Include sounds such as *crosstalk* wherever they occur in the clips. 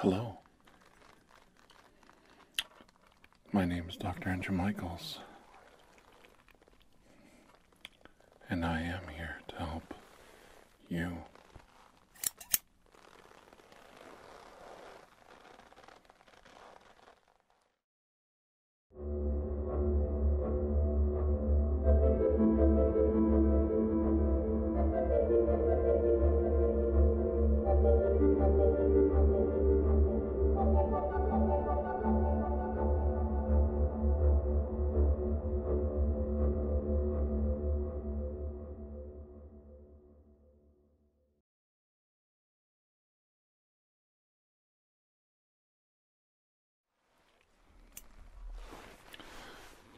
Hello. My name is Dr. Andrew Michaels and I am here to help you.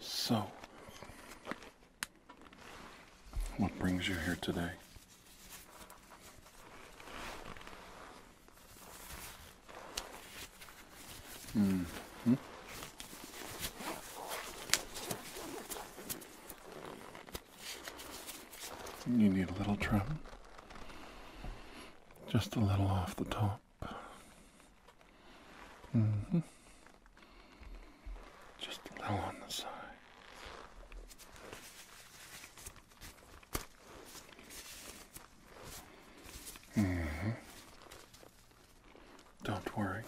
So, what brings you here today? -hmm. You need a little trim, just a little off the top. -hmm. Just a on the side. Mm-hmm. Don't worry.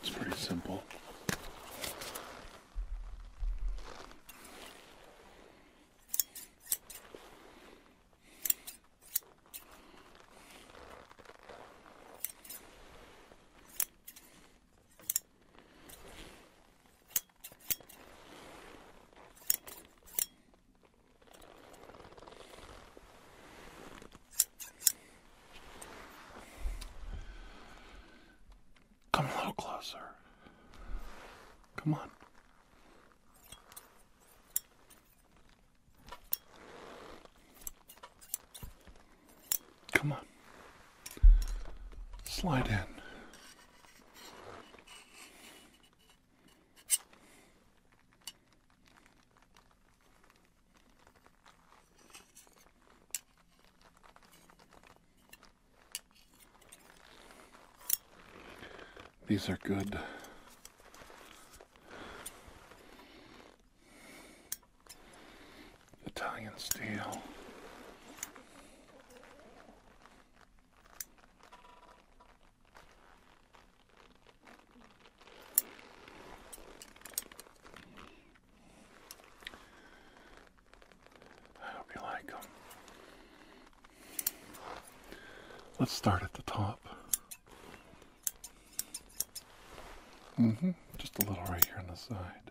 It's pretty simple. Come a little closer. Come on. Come on. Slide in. These are good. Italian steel. I hope you like them. Let's start at the top. hmm Just a little right here on the side.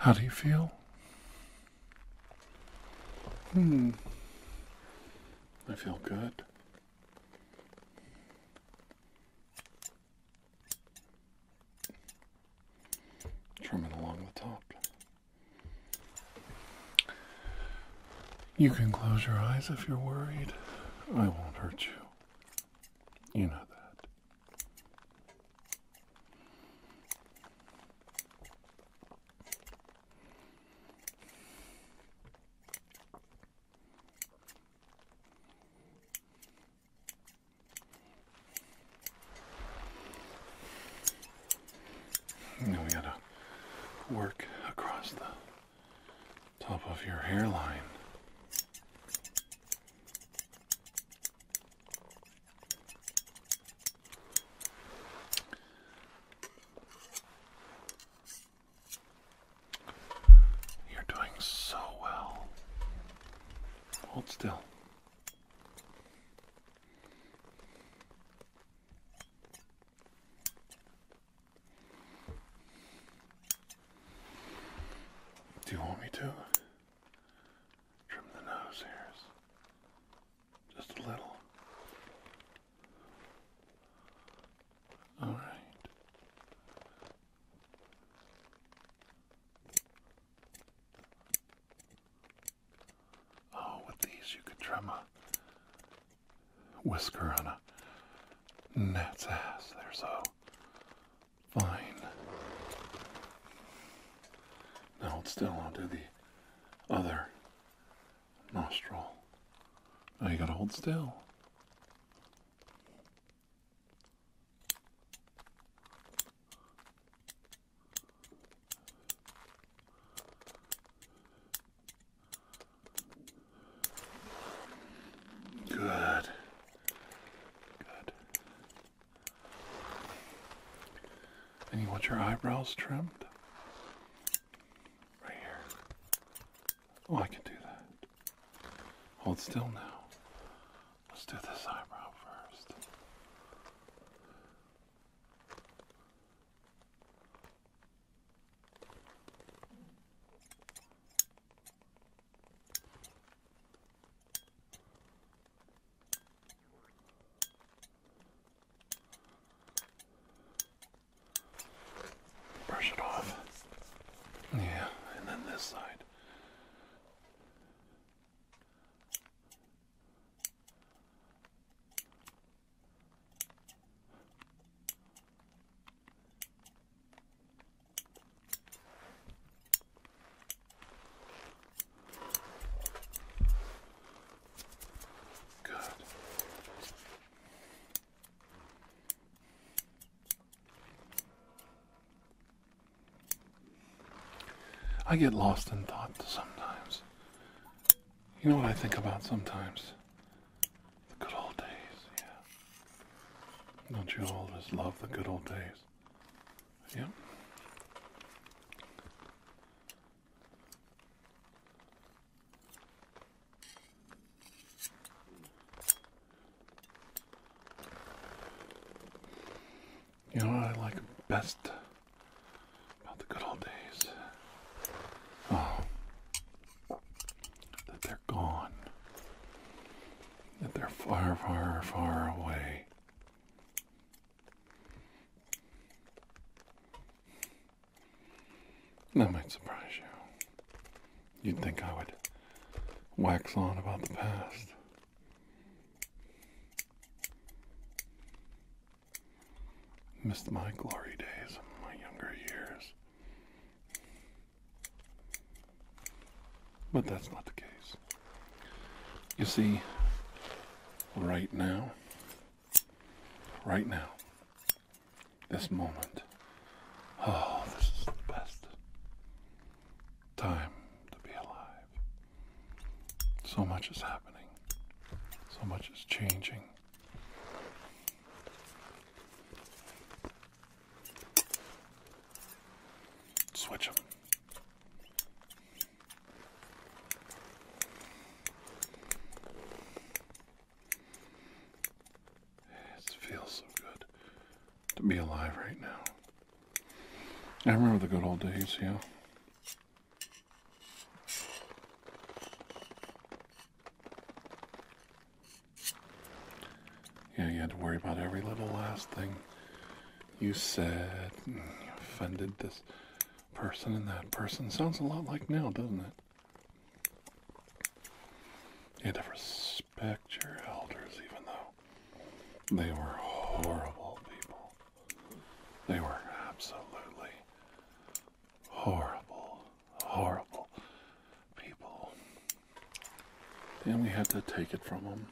How do you feel? Hmm. I feel good. Trim along the top. You can close your eyes if you're worried. I won't hurt you. You know that. Now we gotta work across the top of your hairline. You're doing so well. Hold still. Do you want me to trim the nose hairs? Just a little. All right. Oh, with these you could trim a whisker on a gnat's ass. They're so fine. Now hold still, onto the other nostril. Now you gotta hold still. Good. Good. And you want your eyebrows trimmed? Right here. Oh, I can do that. Hold still now. Let's do this eyebrow first. Brush it off. Yeah, and then this side. Good. I get lost in thought sometimes. You know what I think about sometimes? The good old days, yeah. Don't you always love the good old days? Yeah. You know what I like best about the good old days? Oh, that they're gone. That they're far, far, far away. That might surprise you. You'd think I would wax on about the past. Missed my glory days of my younger years. But that's not the case. You see, right now, right now, this moment. Oh, this is the best time to be alive. So much is happening, so much is changing. Switch them. It feels so good to be alive right now. I remember the good old days, yeah. Yeah, you had to worry about every little last thing you said. offended this person and that person. Sounds a lot like now, doesn't it? You had to respect your elders, even though they were horrible people. They were absolutely horrible, horrible people. And we had to take it from them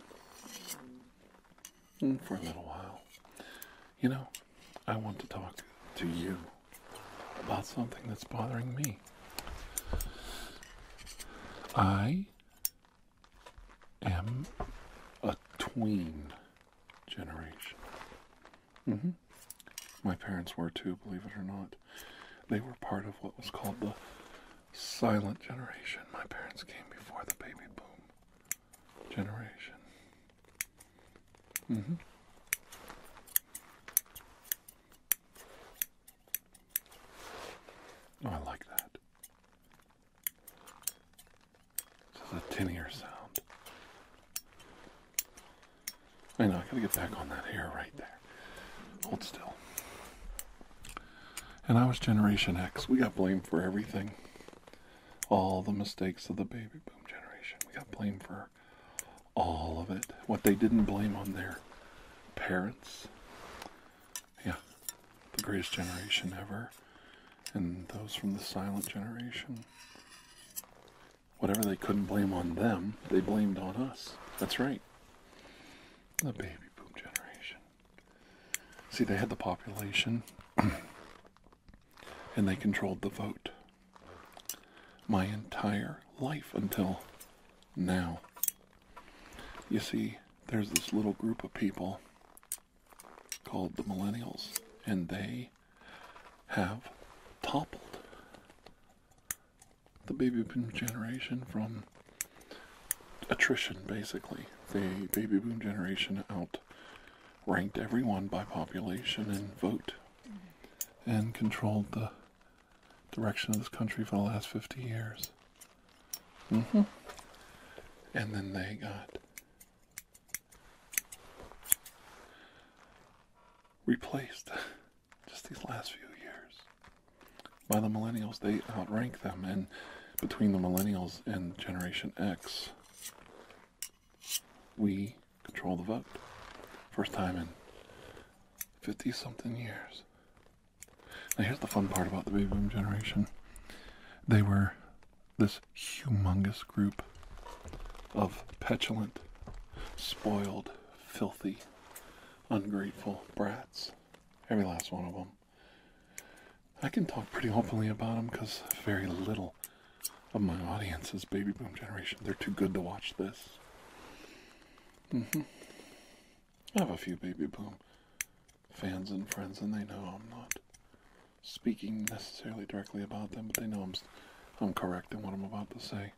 mm, for a little while. You know, I want to talk to you about something that's bothering me. I am a tween generation. Mm-hmm. My parents were too, believe it or not. They were part of what was called the silent generation. My parents came before the baby boom generation. Mm-hmm. Oh, I like that. This is a tinnier sound. I know, I gotta get back on that hair right there. Hold still. And I was Generation X. We got blamed for everything. All the mistakes of the baby boom generation. We got blamed for all of it. What they didn't blame on their parents. Yeah, the greatest generation ever. And those from the silent generation. Whatever they couldn't blame on them, they blamed on us. That's right. The baby boom generation. See, they had the population *clears throat* and they controlled the vote. My entire life until now. You see, there's this little group of people called the millennials, and they have toppled the baby boom generation from attrition basically the baby boom generation outranked everyone by population and vote and controlled the direction of this country for the last 50 years. Mm-hmm. And then they got replaced *laughs* just these last few years by the millennials. They outrank them, and between the millennials and Generation X, we control the vote. First time in 50 something years. Now, here's the fun part about the baby boom generation they were this humongous group of petulant, spoiled, filthy, ungrateful brats. Every last one of them. I can talk pretty openly about them because very little of my audience is baby boom generation. They're too good to watch this. Mm -hmm. I have a few Baby Boom fans and friends, and they know I'm not speaking necessarily directly about them, but they know I'm, I'm correct in what I'm about to say.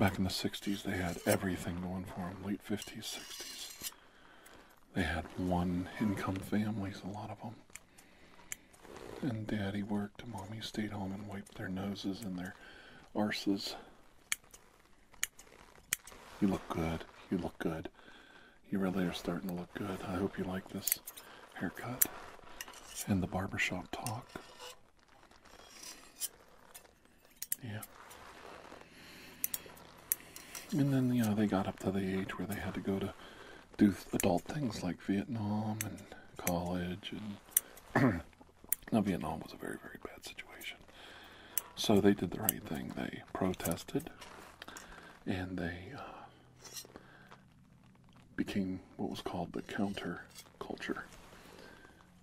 Back in the 60s, they had everything going for them. Late 50s, 60s. They had one income families, a lot of them. And daddy worked, mommy stayed home and wiped their noses and their arses you look good. You look good. You really are starting to look good. I hope you like this haircut and the barbershop talk. Yeah. And then, you know, they got up to the age where they had to go to do adult things like Vietnam and college and *clears throat* Now, Vietnam was a very, very bad situation. So they did the right thing. They protested and they uh, became what was called the counter culture.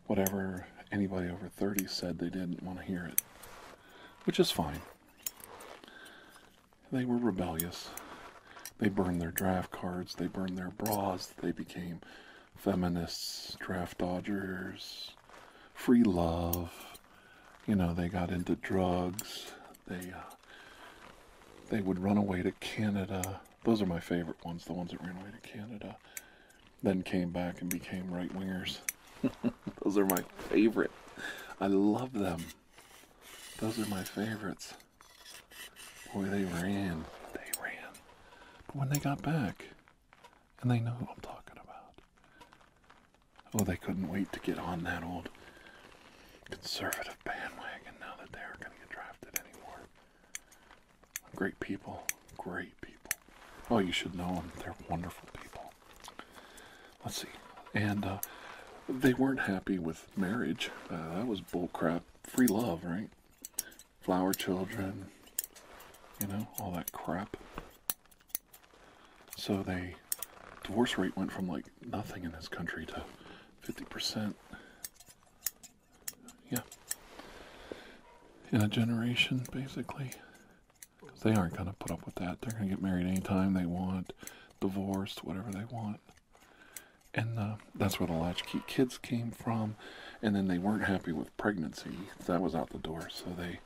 Whatever anybody over 30 said, they didn't want to hear it, which is fine. They were rebellious. They burned their draft cards, they burned their bras, they became feminists, draft dodgers, free love. You know, they got into drugs. They uh, they would run away to Canada. Those are my favorite ones, the ones that ran away to Canada, then came back and became right wingers. *laughs* Those are my favorite. I love them. Those are my favorites. Boy, they ran. They ran. But when they got back, and they know what I'm talking about. Oh, they couldn't wait to get on that old conservative bandwagon now that they aren't going to get drafted anymore. Great people. Great people. Oh, you should know them. They're wonderful people. Let's see. And uh, they weren't happy with marriage. Uh, that was bullcrap. Free love, right? Flower Children, you know, all that crap. So the divorce rate went from like nothing in this country to 50%. Yeah. In a generation, basically. they aren't going to put up with that. They're going to get married anytime they want, divorced, whatever they want. And uh, that's where the latchkey kids came from. And then they weren't happy with pregnancy, that was out the door. So they,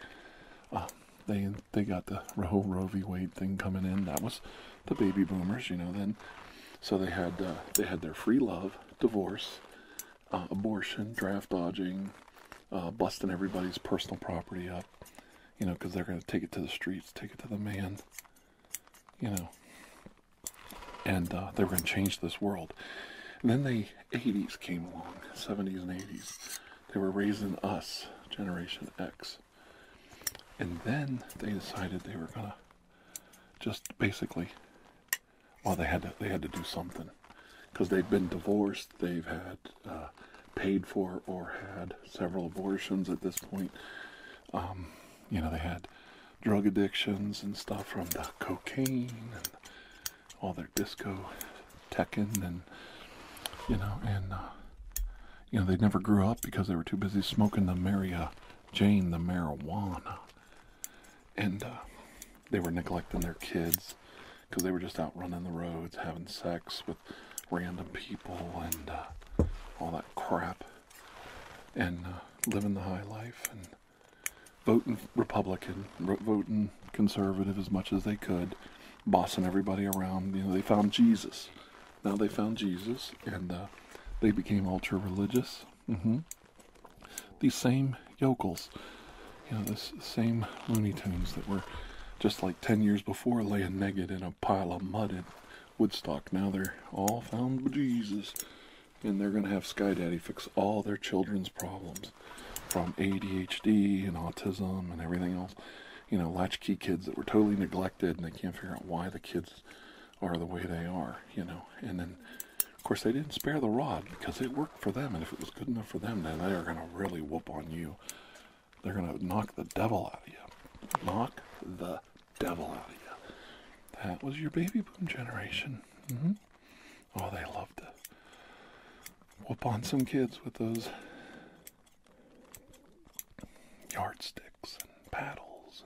uh, they they got the Roe v. Wade thing coming in. That was the baby boomers, you know. Then, so they had uh, they had their free love, divorce, uh, abortion, draft dodging, busting everybody's personal property up, you know, because they're going to take it to the streets, take it to the man, you know and uh, they were going to change this world. And then the 80s came along, 70s and 80s. They were raising us, Generation X. And then they decided they were going to just basically, well, they had to, they had to do something. Because they have been divorced, they've had uh, paid for or had several abortions at this point. Um, you know, they had drug addictions and stuff from the cocaine and all their disco teching and you know and uh, you know they never grew up because they were too busy smoking the Mary Jane the marijuana and uh, they were neglecting their kids because they were just out running the roads having sex with random people and uh, all that crap and living the high life and voting Republican, voting conservative as much as they could, bossing everybody around. You know, they found Jesus. Now they found Jesus, and uh, they became ultra religious. Mm-hmm. These same yokels, you know, this same Looney Tunes that were just like 10 years before laying naked in a pile of mud at Woodstock. Now they're all found Jesus and they're going to have Sky Daddy fix all their children's problems from ADHD and autism and everything else. You know, latchkey kids that were totally neglected and they can't figure out why the kids are the way they are, you know. And then, of course, they didn't spare the rod because it worked for them. And if it was good enough for them, then they are going to really whoop on you. They're going to knock the devil out of you. Knock the devil out of you. That was your baby boom generation. -hmm. Oh, they loved to whoop on some kids with those yardsticks and paddles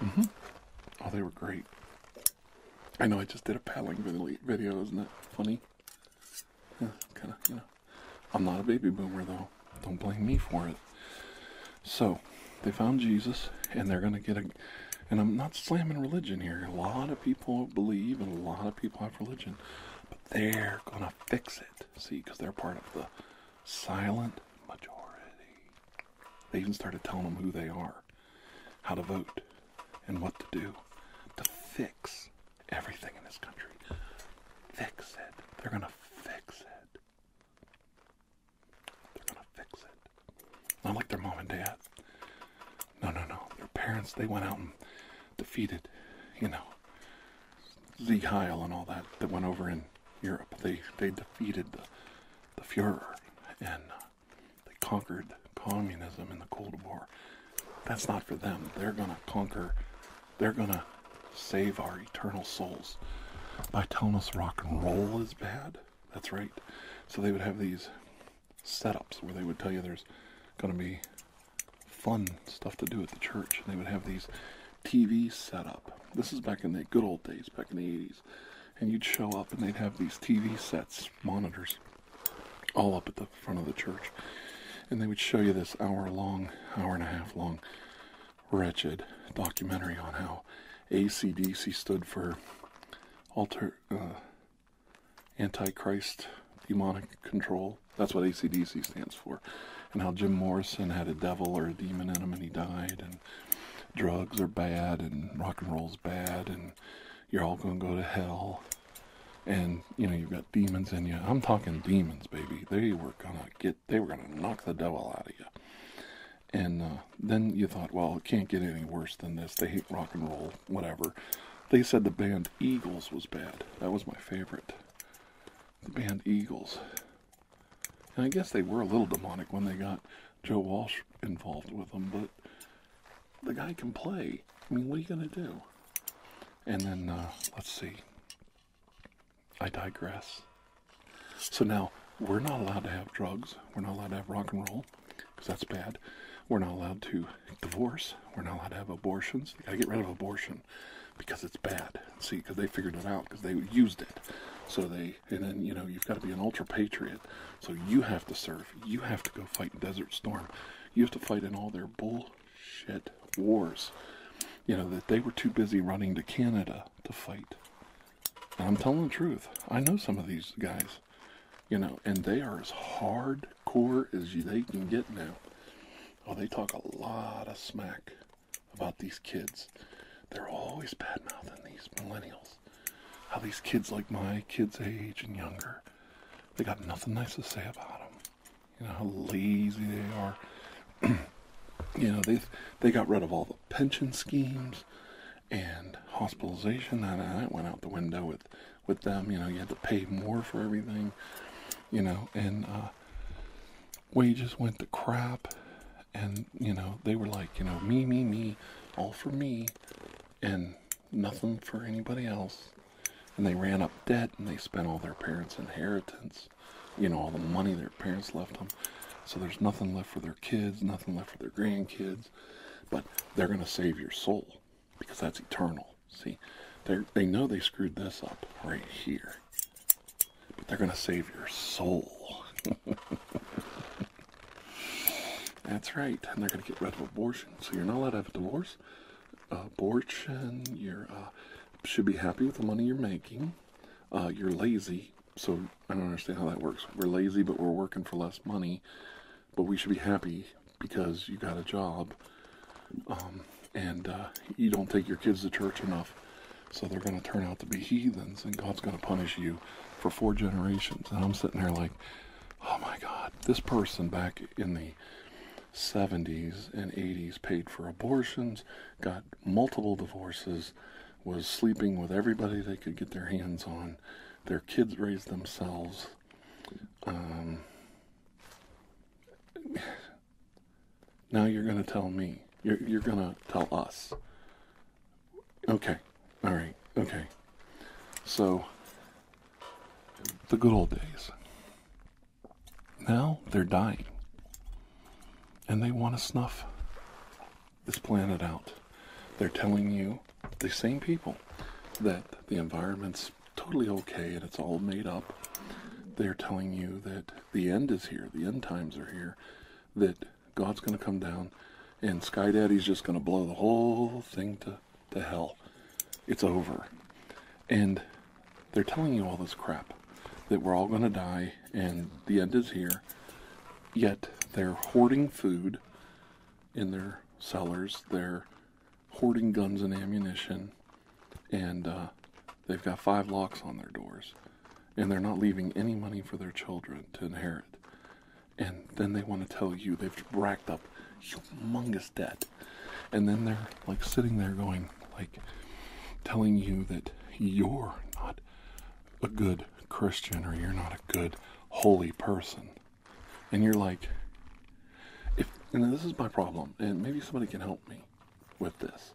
and. Mm-hmm. Oh, they were great. I know I just did a paddling video, isn't that funny? kind of, you know. I'm not a baby boomer though. Don't blame me for it. So, they found Jesus, and they're going to get a and i'm not slamming religion here a lot of people believe and a lot of people have religion but they're gonna fix it see because they're part of the silent majority they even started telling them who they are how to vote and what to do to fix everything in this country fix it they're gonna fix it they're gonna fix it not like their mom and dad. No, no, no. Their parents, they went out and defeated, you know, Sieg Heil and all that that went over in Europe. They they defeated the, the Fuhrer and uh, they conquered communism in the Cold War. That's not for them. They're going to conquer, they're going to save our eternal souls by telling us rock and roll is bad. That's right. So they would have these setups where they would tell you there's going to be fun stuff to do at the church. And they would have these TV set up. This is back in the good old days, back in the 80s. And you'd show up and they'd have these TV sets, monitors, all up at the front of the church. And they would show you this hour long, hour and a half long, wretched documentary on how ACDC stood for alter, uh, Antichrist demonic control. That's what ACDC stands for. And how Jim Morrison had a devil or a demon in him and he died. And drugs are bad and rock and roll's bad and you're all going to go to hell. And, you know, you've got demons in you. I'm talking demons, baby. They were going to get, they were going to knock the devil out of you. And uh, then you thought, well, it can't get any worse than this. They hate rock and roll whatever. They said the band Eagles was bad. That was my favorite. The band Eagles. And I guess they were a little demonic when they got Joe Walsh involved with them, but the guy can play. I mean, what are you going to do? And then, uh, let's see. I digress. So now, we're not allowed to have drugs. We're not allowed to have rock and roll because that's bad. We're not allowed to divorce. We're not allowed to have abortions. You got to get rid of abortion because it's bad. See, because they figured it out because they used it. So they, and then, you know, you've got to be an ultra patriot. So you have to serve. You have to go fight Desert Storm. You have to fight in all their bullshit wars. You know, that they were too busy running to Canada to fight. I'm telling the truth. I know some of these guys you know, and they are as hardcore as they can get now. Oh, they talk a lot of smack about these kids. They're always bad mouthing these millennials. How these kids like my kids' age and younger, they got nothing nice to say about them. You know how lazy they are. *clears throat* you know they they got rid of all the pension schemes and hospitalization. Uh, that went out the window with with them. You know, you had to pay more for everything. You know, and uh, wages went to crap. And you know, they were like, you know, me, me, me, all for me, and nothing for anybody else. And they ran up debt and they spent all their parents' inheritance. You know, all the money their parents left them. So there's nothing left for their kids, nothing left for their grandkids but they're going to save your soul because that's eternal. See, they they know they screwed this up right here, but they're going to save your soul. *laughs* that's right, and they're going to get rid of abortion. So you're not allowed to have a divorce. Abortion. You're uh, should be happy with the money you're making. Uh, you're lazy, so I don't understand how that works. We're lazy, but we're working for less money but we should be happy because you got a job um, and uh, you don't take your kids to church enough. So they're going to turn out to be heathens and God's going to punish you for four generations. And I'm sitting there like, oh my God, this person back in the 70s and 80s paid for abortions, got multiple divorces, was sleeping with everybody they could get their hands on. Their kids raised themselves. Um, now you're going to tell me. You're, you're going to tell us. Okay. All right. Okay. So, the good old days. Now they're dying. And they want to snuff this planet out. They're telling you, the same people, that the environment's totally okay and it's all made up. They're telling you that the end is here, the end times are here, that God's going to come down and Sky Daddy's just going to blow the whole thing to, to hell. It's over. And they're telling you all this crap that we're all going to die and the end is here. Yet they're hoarding food in their cellars. They're hoarding guns and ammunition, and uh, they've got five locks on their doors, and they're not leaving any money for their children to inherit. And then they want to tell you they've racked up humongous debt, and then they're like sitting there going like telling you that you're not a good Christian or you're not a good holy person and you're like, if and this is my problem, and maybe somebody can help me with this.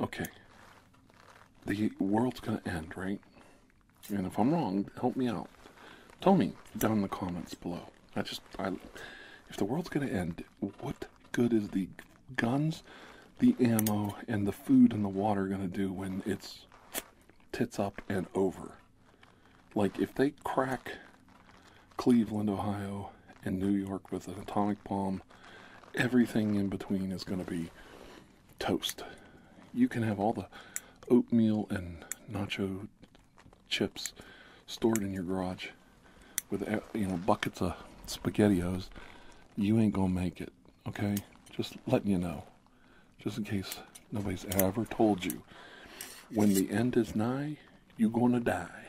Okay, the world's gonna end, right? And if I'm wrong, help me out. Tell me down in the comments below. I just, I, if the world's gonna end, what good is the guns, the ammo, and the food and the water gonna do when it's tits up and over? Like, if they crack Cleveland, Ohio, and New York with an atomic bomb, everything in between is going to be toast. You can have all the oatmeal and nacho chips stored in your garage with eh, you know buckets of spaghettios you ain't gonna make it okay just letting you know just in case nobody's ever told you, when the end is nigh, you're going to die.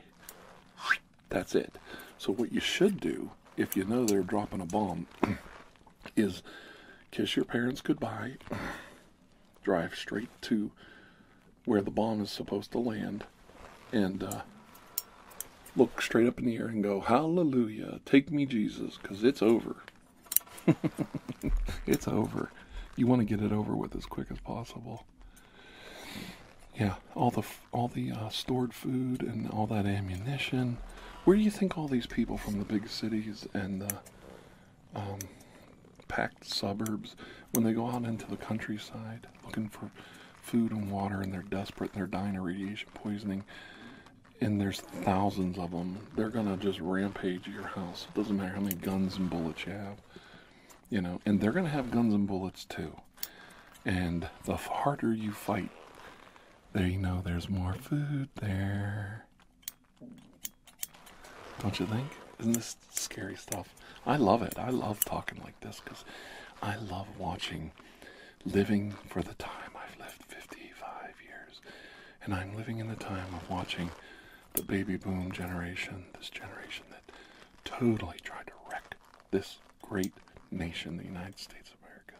That's it. So, what you should do, if you know they're dropping a bomb, *clears throat* is kiss your parents goodbye, *clears throat* drive straight to where the bomb is supposed to land, and uh, look straight up in the air and go, Hallelujah, take me, Jesus, because it's over. *laughs* it's over. You want to get it over with as quick as possible. Yeah, all the all the uh, stored food and all that ammunition. Where do you think all these people from the big cities and the um, packed suburbs, when they go out into the countryside looking for food and water, and they're desperate, and they're dying of radiation poisoning, and there's thousands of them they're gonna just rampage your house. It doesn't matter how many guns and bullets you have, you know, and they're gonna have guns and bullets too. And the harder you fight, there you know there's more food there. Don't you think? Isn't this scary stuff? I love it. I love talking like this because I love watching living for the time I've lived 55 years. And I'm living in the time of watching the baby boom generation, this generation that totally tried to wreck this great nation, the United States of America,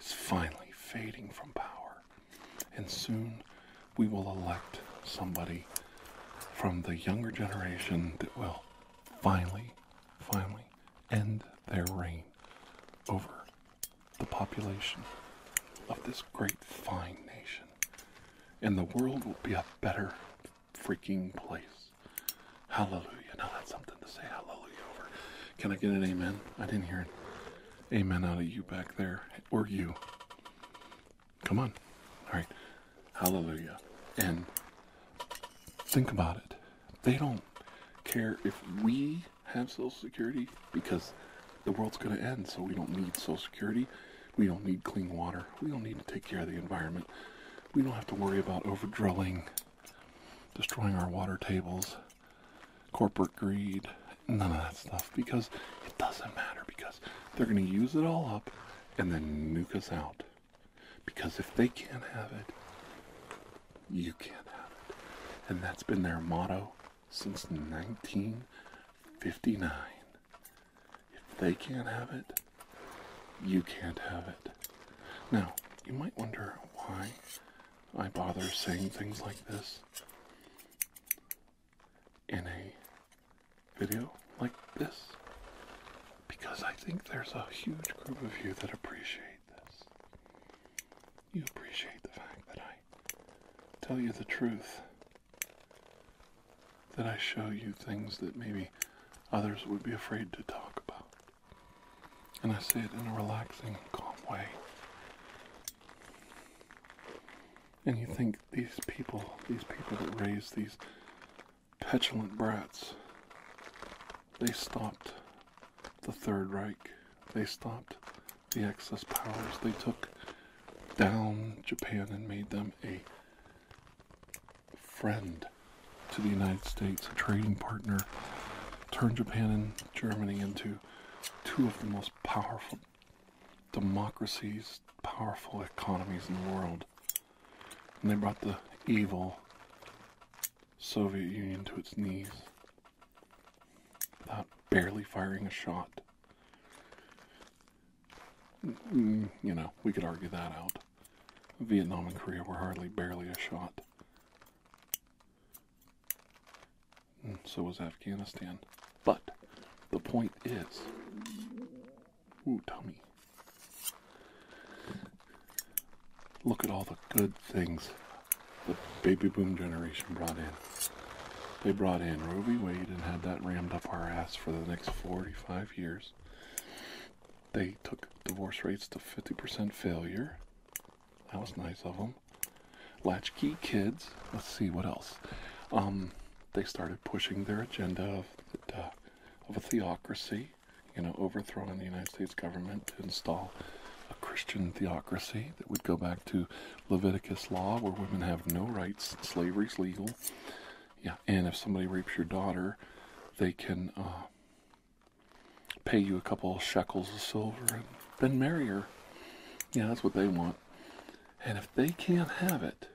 is finally fading from power. And soon we will elect somebody from the younger generation that will finally, finally end their reign over the population of this great fine nation. And the world will be a better freaking place. Hallelujah. Now that's something to say hallelujah over. Can I get an amen? I didn't hear an amen out of you back there. Or you. Come on. All right. Hallelujah. And think about it. They don't care if we have Social Security because the world's going to end, so we don't need Social Security. We don't need clean water. We don't need to take care of the environment. We don't have to worry about overdrilling, destroying our water tables, corporate greed, none of that stuff because it doesn't matter because they're going to use it all up and then nuke us out. Because if they can't have it, you can't have it. And that's been their motto since 1959. If they can't have it, you can't have it. Now, you might wonder why I bother saying things like this in a video like this. Because I think there's a huge group of you that appreciate this. You appreciate the fact that I tell you the truth that I show you things that maybe others would be afraid to talk about. And I say it in a relaxing calm way. And you think these people, these people that raise these petulant brats, they stopped the Third Reich. They stopped the excess powers they took down Japan and made them a friend to the United States, a trading partner, turned Japan and Germany into two of the most powerful democracies, powerful economies in the world. And they brought the evil Soviet Union to its knees without barely firing a shot. Mm, you know, we could argue that out. Vietnam and Korea were hardly barely a shot. Mm, so was Afghanistan. But the point is, ooh, tummy. Look at all the good things the baby boom generation brought in. They brought in Roe v. Wade and had that rammed up our ass for the next 45 years. They took divorce rates to 50% failure. That was nice of them. Latchkey kids. Let's see what else. Um, they started pushing their agenda of uh, of a theocracy, you know, overthrowing the United States government to install a Christian theocracy that would go back to Leviticus law where women have no rights, slavery's legal. Yeah, and if somebody rapes your daughter, they can uh, pay you a couple shekels of silver and then marry her. Yeah, that's what they want. And if they can't have it,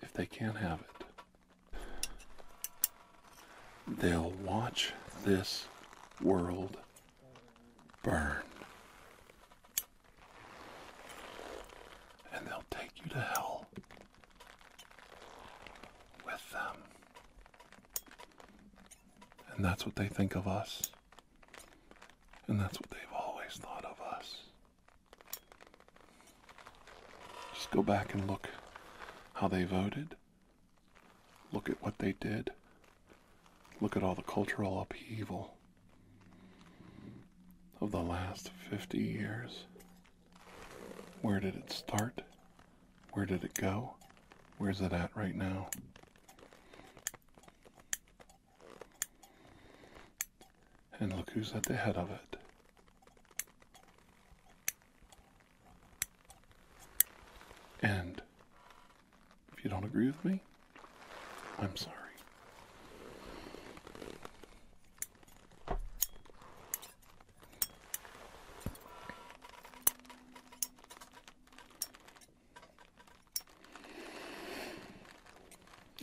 if they can't have it, they'll watch this world burn and they'll take you to hell with them. And that's what they think of us. And that's what they've always thought of us. Just go back and look how they voted. Look at what they did. Look at all the cultural upheaval of the last 50 years. Where did it start? Where did it go? Where's it at right now? And look who's at the head of it. And if you don't agree with me, I'm sorry.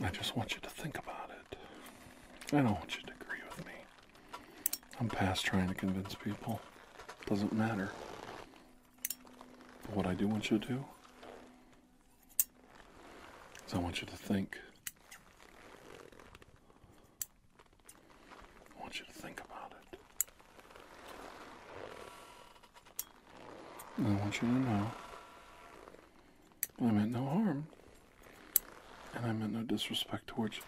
I just want you to think about it. I don't want you to agree with me. I'm past trying to convince people. Doesn't matter. what I do want you to do I want you to think. I want you to think about it. And I want you to know I meant no harm. And I meant no disrespect towards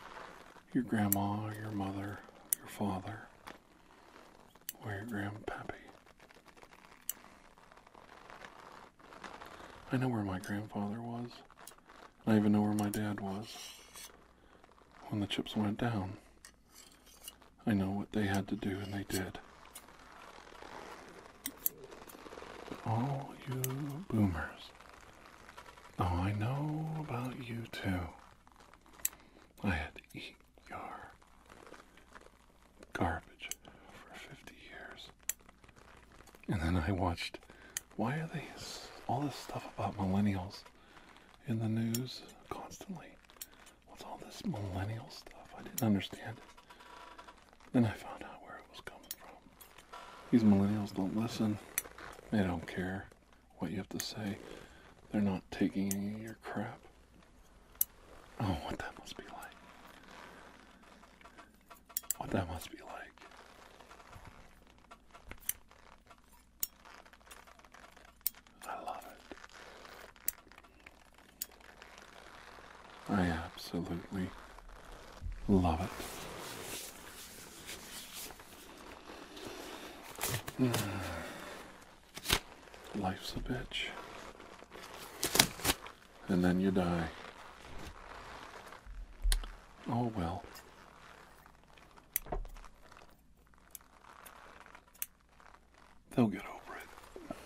your grandma, your mother, your father, where grandpappy? I know where my grandfather was. I even know where my dad was. When the chips went down, I know what they had to do, and they did. All you boomers. Oh, I know about you too. I had to eat your garbage for 50 years. And then I watched why are these all this stuff about millennials in the news constantly? What's all this millennial stuff? I didn't understand Then I found out where it was coming from. These millennials don't listen. They don't care what you have to say. They're not taking any of your crap. Oh, what that must be like. What that must be like. I love it. I absolutely love it. *sighs* Hmm. Life's a bitch. And then you die. Oh well. They'll get over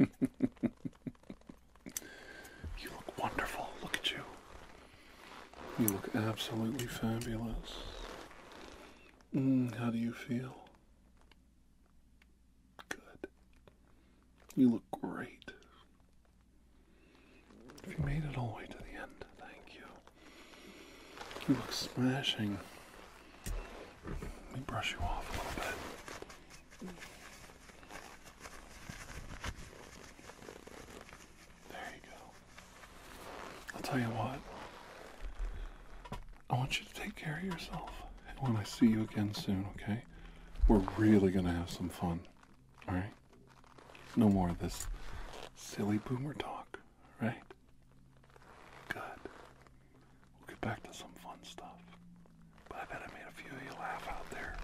it. *laughs* you look wonderful. Look at you. You look absolutely fabulous. Mm, how do you feel? Good. You look great. you made it all the way to the end, thank you. You look smashing. Let me brush you off a little bit. There you go. I'll tell you what. I want you to take care of yourself. And when I see you again soon, okay? We're really going to have some fun. All right? No more of this silly boomer talk, right? Good. We'll get back to some fun stuff. But I bet I made a few of you laugh out there.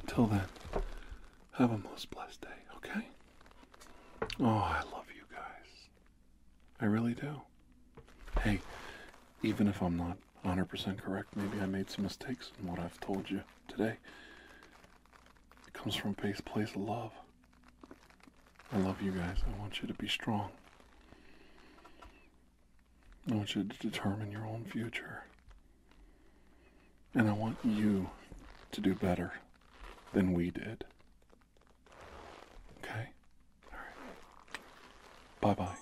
Until then, have a most blessed day, okay? Oh, I love you guys. I really do. Hey, even if I'm not 100% correct, maybe I made some mistakes in what I've told you today. It comes from a place of love. I love you guys. I want you to be strong. I want you to determine your own future. And I want you to do better than we did. Okay? All right. Bye bye.